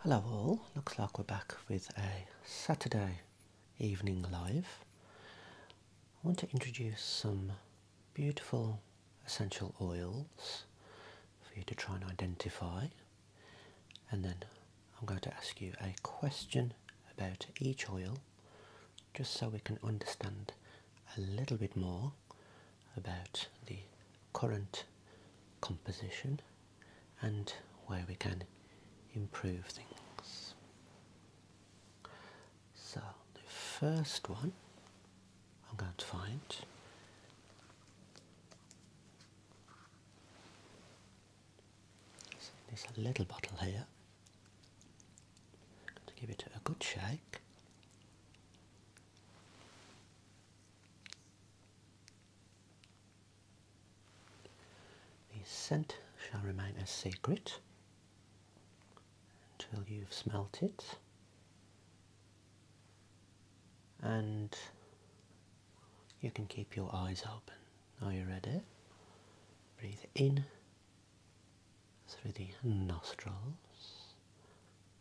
Hello all, looks like we're back with a Saturday evening live. I want to introduce some beautiful essential oils for you to try and identify and then I'm going to ask you a question about each oil just so we can understand a little bit more about the current composition and where we can improve things. So the first one I'm going to find so this little bottle here. I'm going to give it a good shake. The scent shall remain a secret until you've smelt it. And you can keep your eyes open. Are you ready? Breathe in through the nostrils.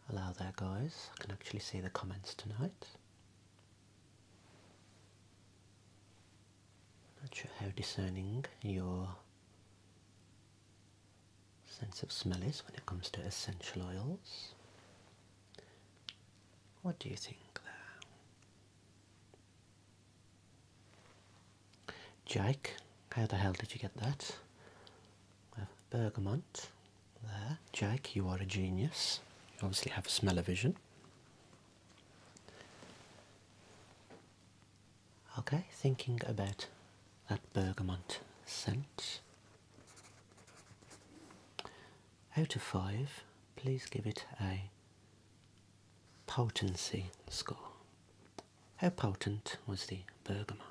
Allow that, guys. I can actually see the comments tonight. Not sure how discerning your sense of smell is when it comes to essential oils. What do you think there? Jake, how the hell did you get that? We bergamot, there, Jack, you are a genius. You obviously have smell-o-vision. Okay, thinking about that bergamot scent. Out of five, please give it a potency score. How potent was the bergamot?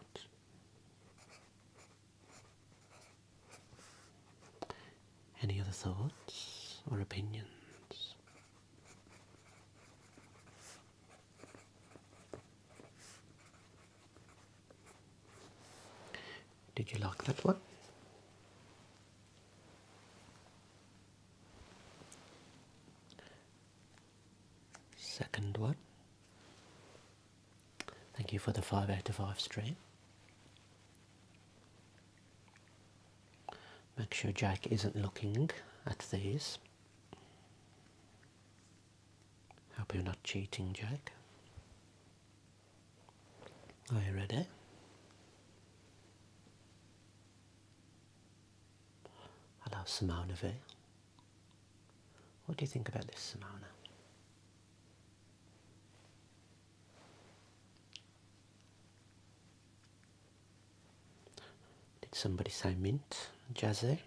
Any other thoughts or opinions? Did you like that one? Second one. Thank you for the five out of five stream. Make sure Jack isn't looking at these. Hope you're not cheating, Jack. Are you ready? Hello, Simona What do you think about this, Simona? Did somebody say mint? Jazzy?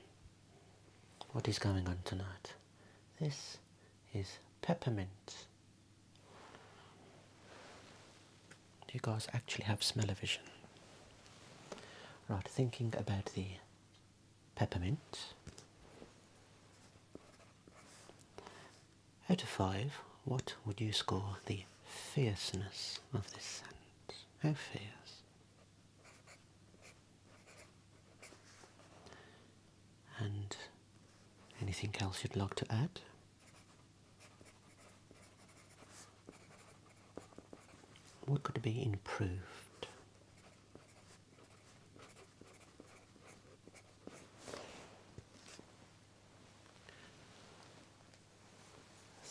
What is going on tonight? This is peppermint. Do you guys actually have smell-o-vision? Right, thinking about the peppermint. Out of five, what would you score the fierceness of this scent? How fierce? And anything else you'd like to add? What could be improved?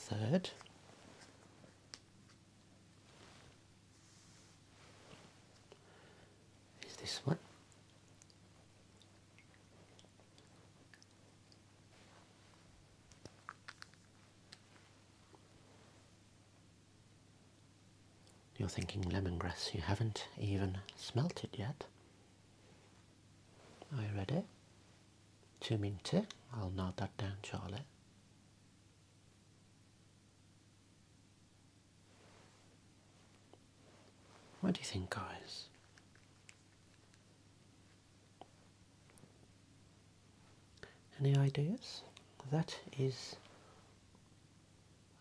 Third, is this one. You're thinking lemongrass, you haven't even smelt it yet. Are you ready? Two minty. I'll note that down, Charlie. What do you think, guys? Any ideas? That is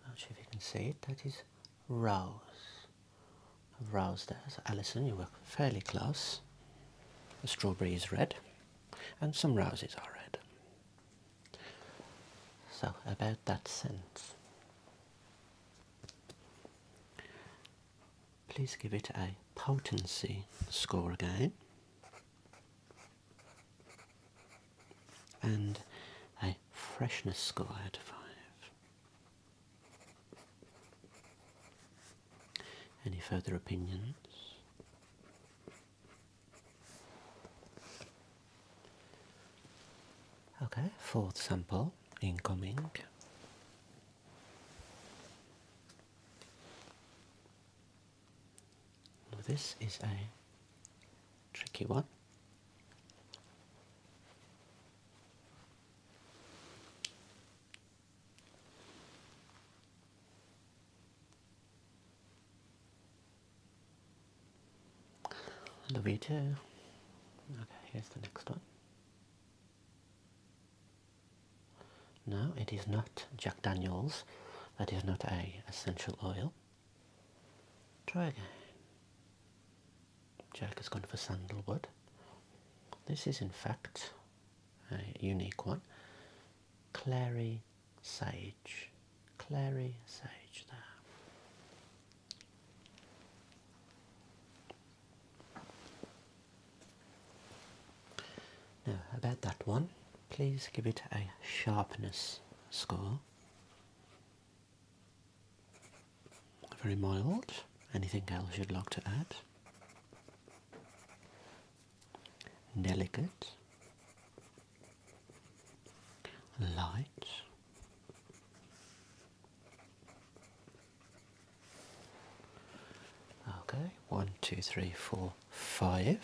I Not sure if you can see it. That is Rose. Rose there. So Alison, you were fairly close. The strawberry is red, and some roses are red. So about that sense. Please give it a potency score again and a freshness score out of 5. Any further opinions? Okay, fourth sample incoming. This is a tricky one. The you too. Okay, here's the next one. No, it is not Jack Daniels. That is not a essential oil. Try again. Jack has gone for sandalwood. This is in fact a unique one. Clary sage. Clary sage there. Now about that one, please give it a sharpness score. Very mild. Anything else you'd like to add? Delicate, light, okay, one, two, three, four, five.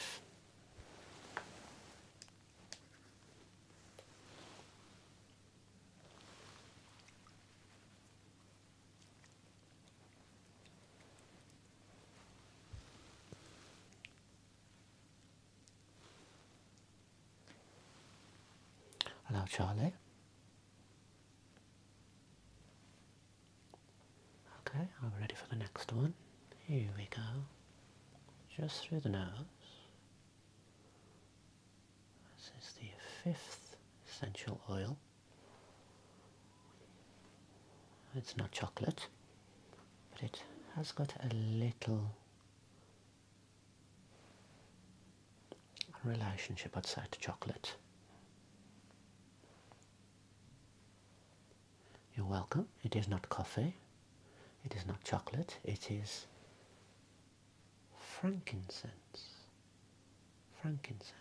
Hello, Charlie. Okay, I'm ready for the next one. Here we go. Just through the nose. This is the fifth essential oil. It's not chocolate, but it has got a little relationship outside to chocolate. You're welcome. It is not coffee. It is not chocolate. It is frankincense. Frankincense.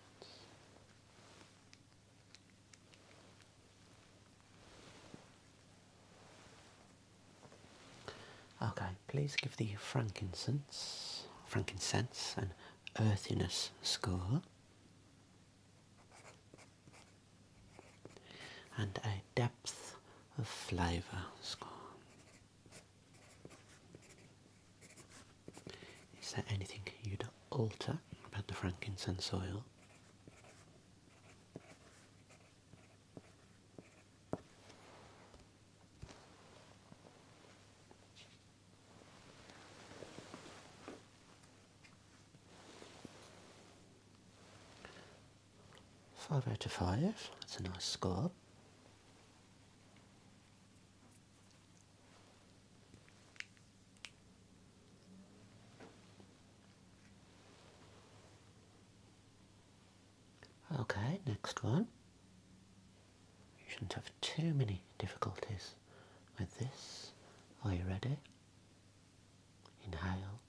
Okay, please give the frankincense, frankincense an earthiness score and a depth of flavour score. Is there anything you'd alter about the frankincense oil? Five out of five, that's a nice score. Okay, next one. You shouldn't have too many difficulties with this. Are you ready? Inhale.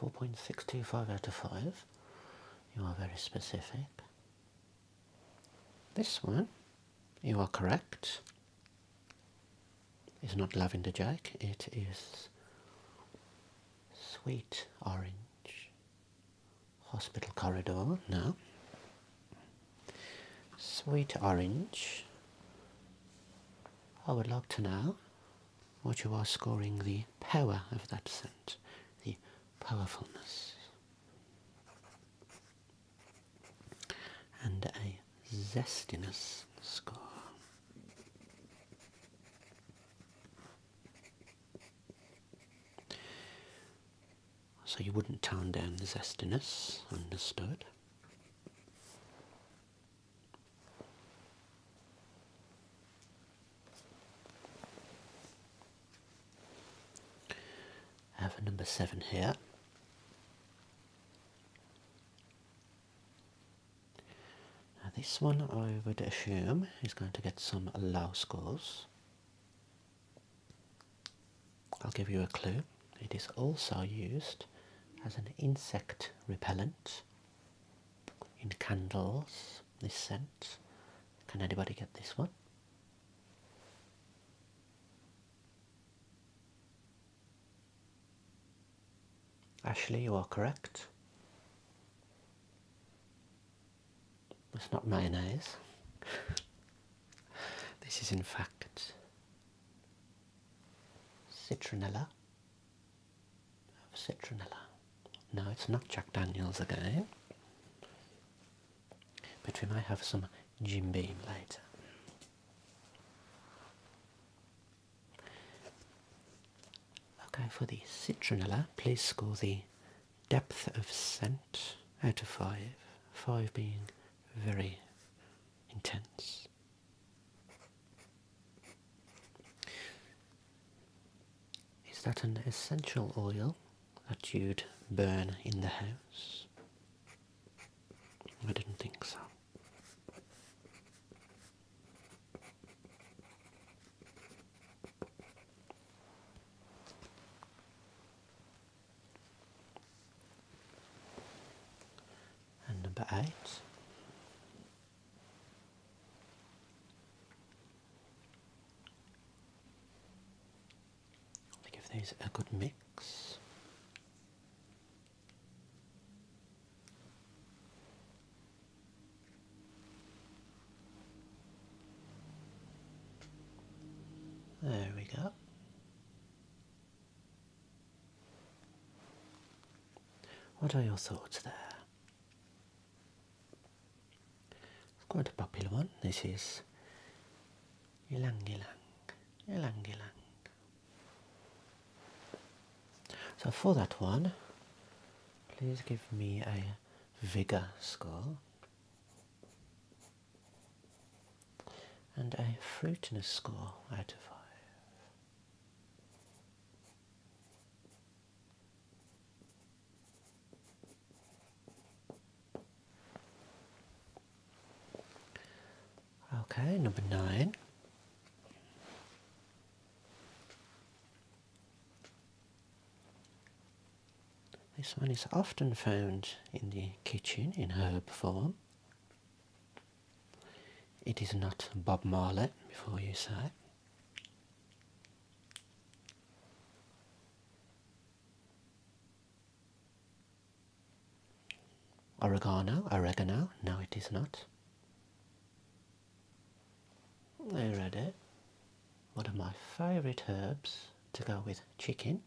4.625 out of 5. You are very specific. This one, you are correct, is not Lavender Jack, it is Sweet Orange Hospital Corridor. No. Sweet Orange, I would like to know what you are scoring the power of that scent, the powerfulness. And a zestiness score. So you wouldn't tone down the zestiness, understood. Have a number seven here. Now this one I would assume is going to get some low scores. I'll give you a clue. It is also used as an insect repellent in candles, this scent. Can anybody get this one? Ashley, you are correct. It's not mayonnaise. this is in fact citronella of citronella. No, it's not Jack Daniels again, but we might have some Jim Beam later. Okay, for the citronella, please score the depth of scent out of five, five being very intense. Is that an essential oil that you'd burn in the house? I didn't think so. And number eight i think if there's a good mix. There we go. What are your thoughts there? It's quite a popular one. This is Ylang Ylang, Ylang Ylang. So for that one, please give me a vigor score and a fruitiness score out of five. Okay, number nine. This one is often found in the kitchen in herb form. It is not Bob Marley, before you say. Oregano, oregano, no it is not. I read it. What are my favourite herbs to go with chicken.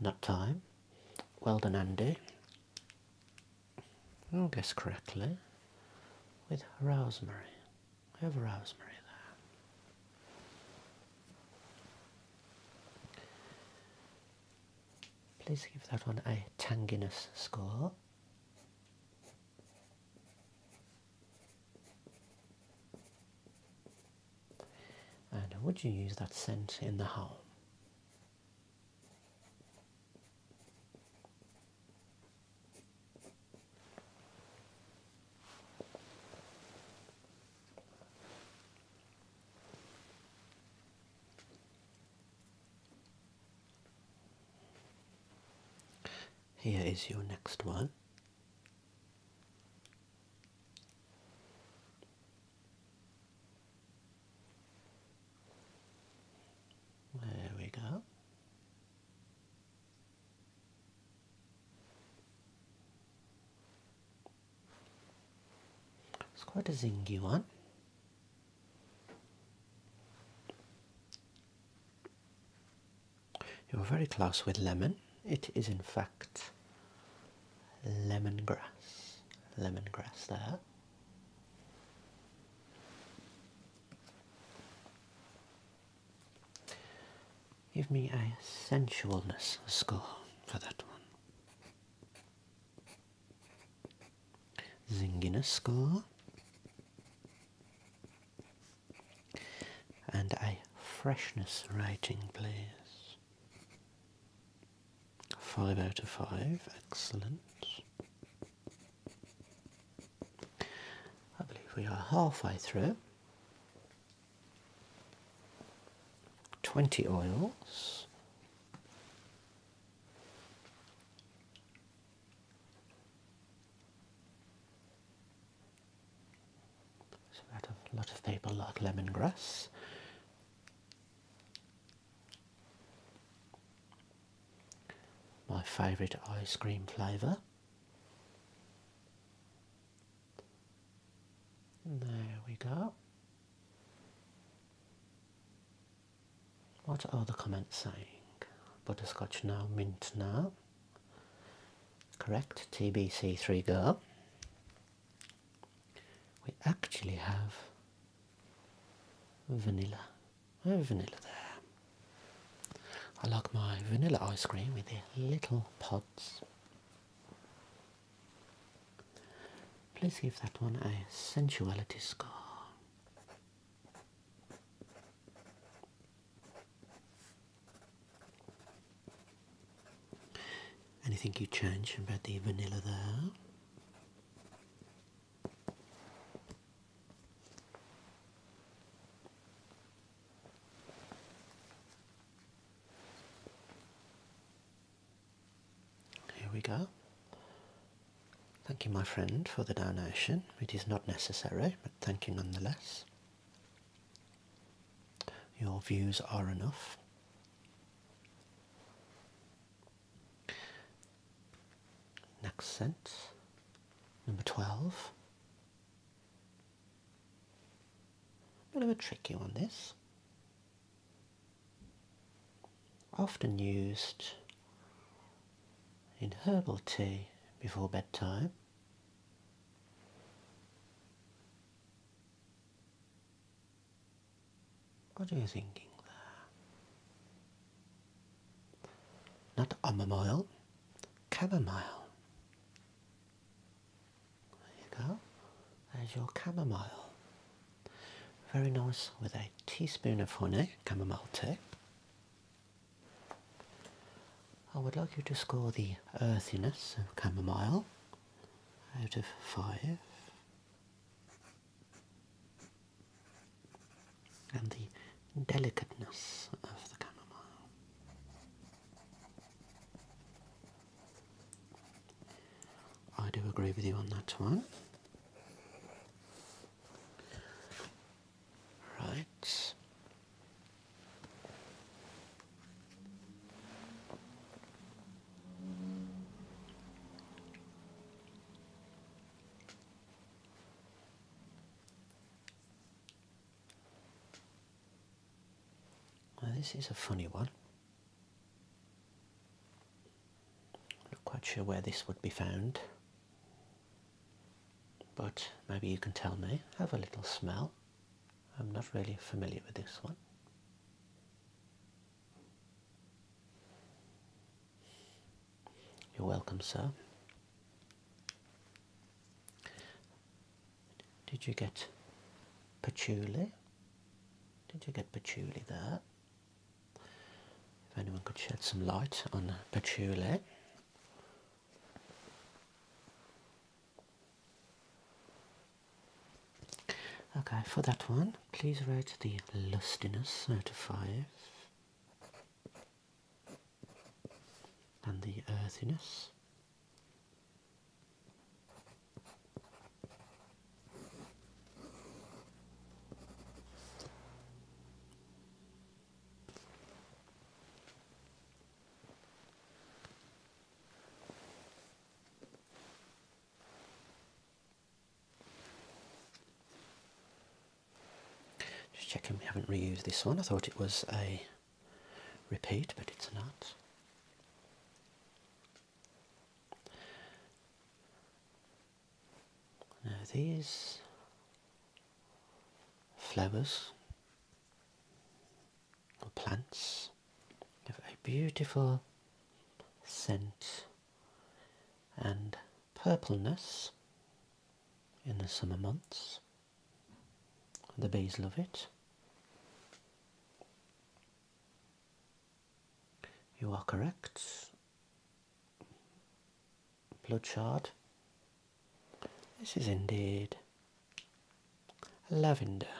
Nut thyme. Well done Andy. I will guess correctly, with rosemary. I have rosemary there. Please give that one a tanginess score. And would you use that scent in the home? Here is your next one. There we go. It's quite a zingy one. You're very close with lemon. It is in fact lemongrass. Lemongrass there. Give me a sensualness score for that one. Zinginess score. And a freshness rating, please. Five out of five, excellent. I believe we are halfway through. 20 oils. So, a lot of people like lemongrass. My favourite ice cream flavour. There we go. What are the comments saying? Butterscotch now, mint now. Correct, TBC3 girl. We actually have vanilla. I oh, have vanilla there. I like my vanilla ice cream with the little pods. Please give that one a sensuality score. Anything you change about the vanilla there? Here we go. Thank you, my friend, for the donation. It is not necessary, but thank you nonetheless. Your views are enough. Next scent, number 12. A bit of a tricky one, this. Often used in herbal tea before bedtime. What are you thinking there? Not chamomile, chamomile. There you go. There's your chamomile. Very nice with a teaspoon of honey, chamomile tea. I would like you to score the earthiness of chamomile out of five and the delicateness of the chamomile. I do agree with you on that one. Right this is a funny one. Not quite sure where this would be found, but maybe you can tell me. Have a little smell. I'm not really familiar with this one. You're welcome, sir. Did you get patchouli? Did you get patchouli there? If anyone could shed some light on patchouli. Okay, for that one, please rate the lustiness out five and the earthiness. Just checking we haven't reused this one. I thought it was a repeat, but it's not. Now these flowers or plants have a beautiful scent and purpleness in the summer months. The bees love it. You are correct. Bloodshard. This is indeed lavender.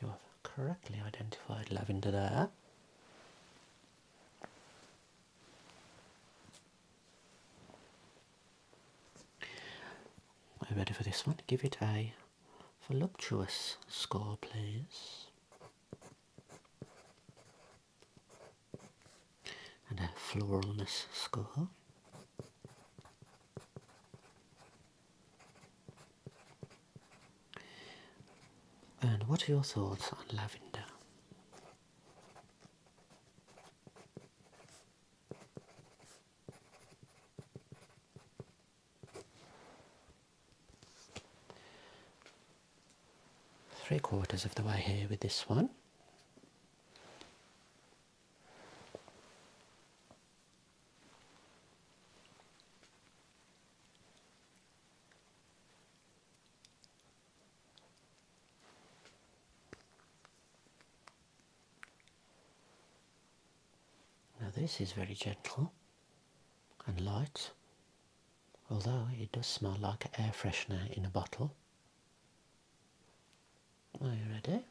You have correctly identified lavender there. Are you ready for this one? Give it a voluptuous score, please. And a floralness score. And what are your thoughts on lavender? Three quarters of the way here with this one. Now this is very gentle and light, although it does smell like air freshener in a bottle. Are you ready?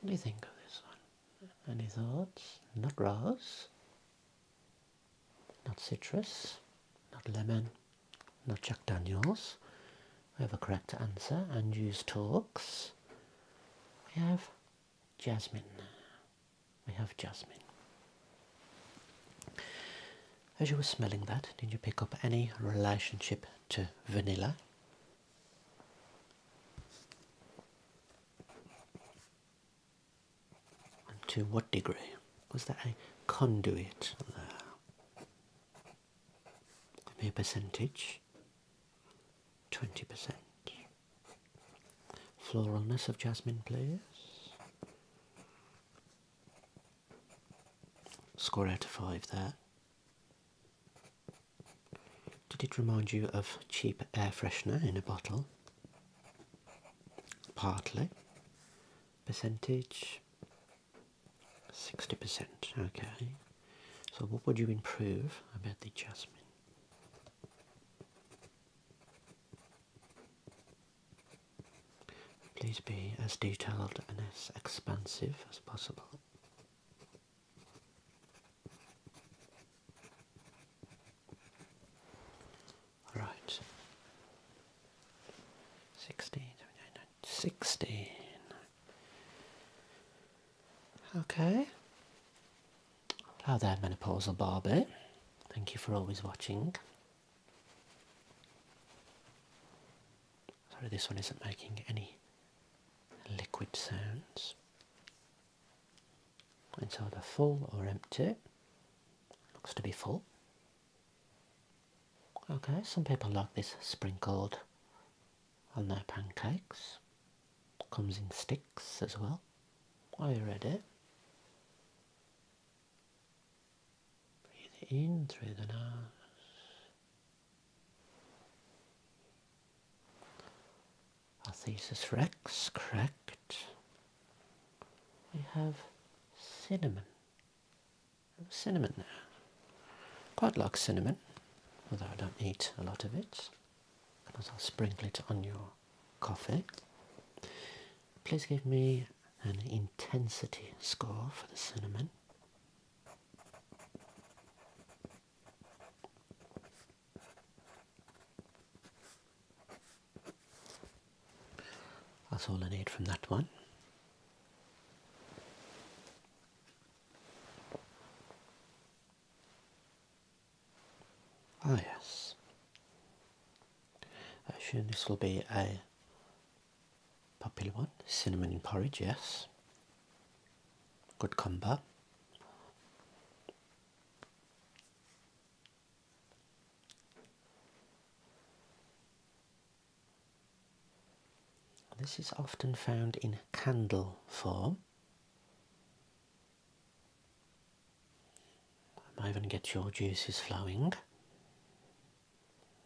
What do you think of this one? Any thoughts? Not rose, not citrus, not lemon, not Jack Daniels. We have a correct answer. and use talks. We have jasmine. We have jasmine. As you were smelling that, did you pick up any relationship to vanilla? And to what degree? Was that a conduit Give me a percentage. 20%. Floralness of jasmine, please. Score out of 5 there. Did it remind you of cheap air freshener in a bottle? Partly. Percentage? 60%. Okay. So, what would you improve about the jasmine? Please be as detailed and as expansive as possible. All right. 16, 16. Okay. Hello there, Menopausal Barbie. Thank you for always watching. Sorry, this one isn't making any liquid sounds. It's either full or empty. Looks to be full. Okay, some people like this sprinkled on their pancakes. Comes in sticks as well. Are you ready? Breathe in through the nose. Our thesis rex, correct. We have cinnamon. Cinnamon there. Quite like cinnamon, although I don't eat a lot of it. Can also sprinkle it on your coffee. Please give me an intensity score for the cinnamon. That's all I need from that one. Ah yes, I assume this will be a popular one, cinnamon porridge, yes. Good combo. This is often found in candle form. I might even get your juices flowing.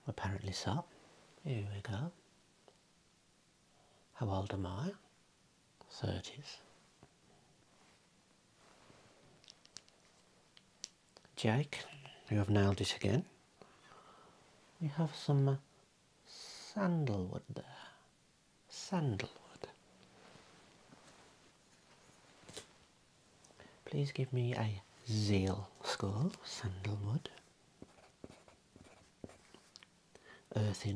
Apparently so. Here we go. How old am I? 30s. Jake, you have nailed it again. We have some uh, sandalwood there. Sandalwood. Please give me a zeal score, sandalwood earth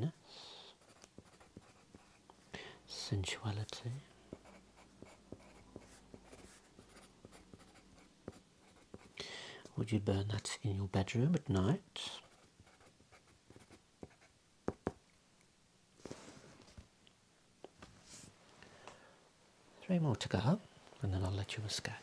sensuality. Would you burn that in your bedroom at night? Three more to go, and then I'll let you escape.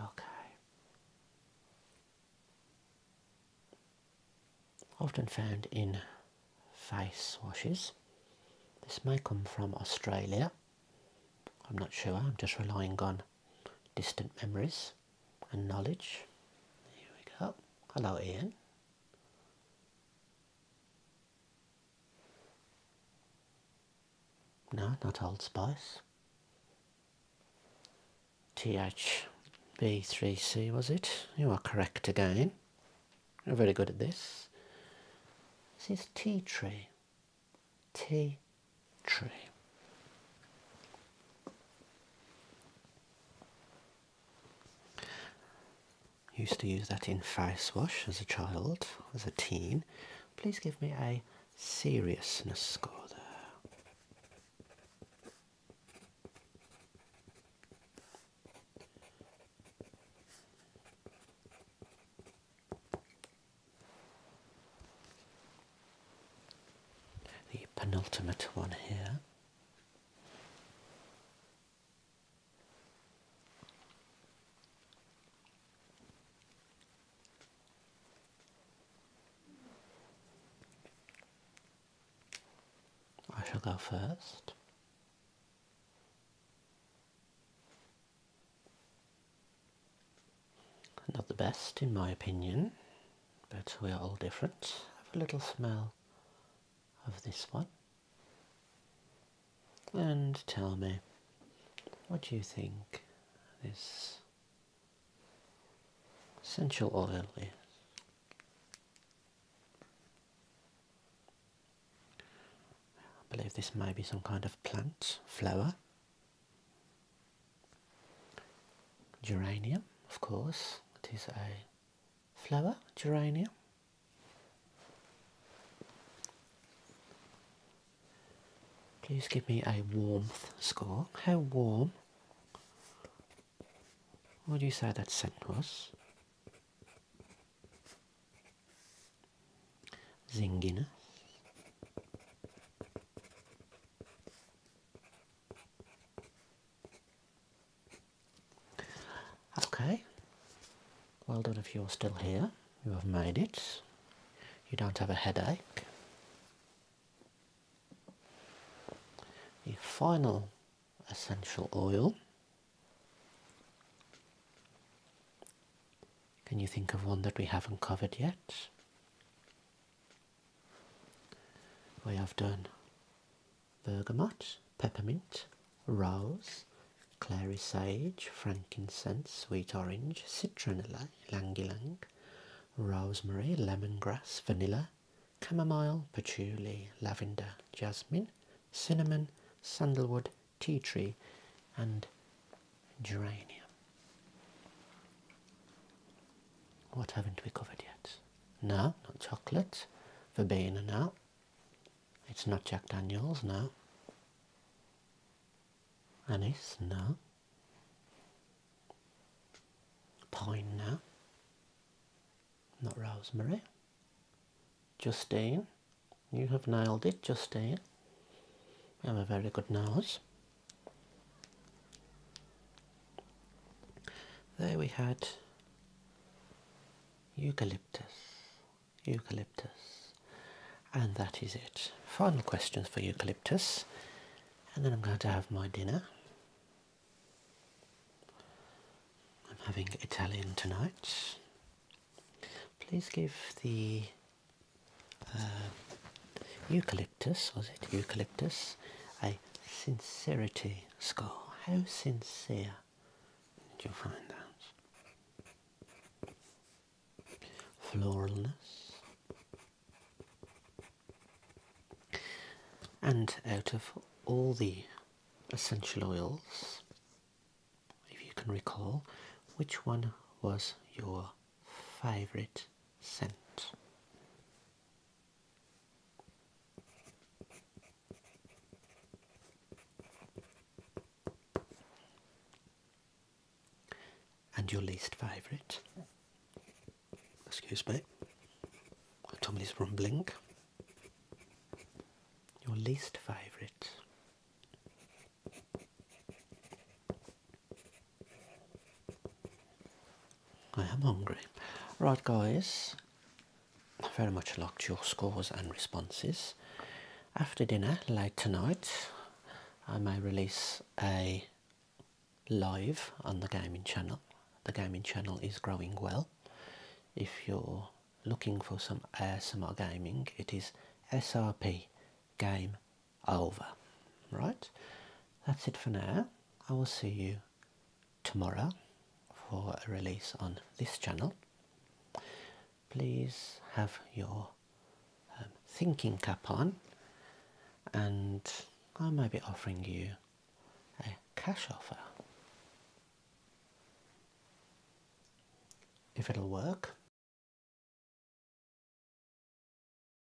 Okay. Often found in face washes. This may come from Australia. I'm not sure, I'm just relying on distant memories and knowledge. Here we go. Hello, Ian. No, not Old Spice. THB3C was it? You are correct again. You're very good at this. This is tea tree. T, tree. Used to use that in face wash as a child, as a teen. Please give me a seriousness score there. The penultimate one here. I shall go first. Not the best in my opinion, but we are all different. Have a little smell of this one and tell me what do you think this essential oil is. I believe this may be some kind of plant flower. Geranium, of course, it is a flower, geranium. Please give me a warmth score. How warm would you say that scent was? Zinginess. Okay, well done if you're still here. You have made it. You don't have a headache. The final essential oil. Can you think of one that we haven't covered yet? We have done bergamot, peppermint, rose, clary sage, frankincense, sweet orange, citronella, ylang ylang, rosemary, lemongrass, vanilla, chamomile, patchouli, lavender, jasmine, cinnamon, sandalwood, tea tree, and geranium. What haven't we covered yet? No, not chocolate. Verbena, now. It's not Jack Daniels, now. Anise, no. Pine, no. Not rosemary. Justine, you have nailed it, Justine. You have a very good nose. There we had eucalyptus, eucalyptus, and that is it. Final questions for eucalyptus, and then I'm going to have my dinner. I'm having Italian tonight. Please give the uh, eucalyptus, was it? Eucalyptus, a sincerity score. How sincere did you find that? Floralness. And out of all the essential oils, if you can recall, which one was your favorite scent. And your least favourite. Excuse me. Tommy's rumbling. Your least favourite. I am hungry. Right, guys, very much liked your scores and responses. After dinner, late tonight, I may release a live on the gaming channel. The gaming channel is growing well. If you're looking for some ASMR gaming, it is SRP Game over. Right? That's it for now. I will see you tomorrow for a release on this channel. Please have your um, thinking cap on and I may be offering you a cash offer. If it'll work,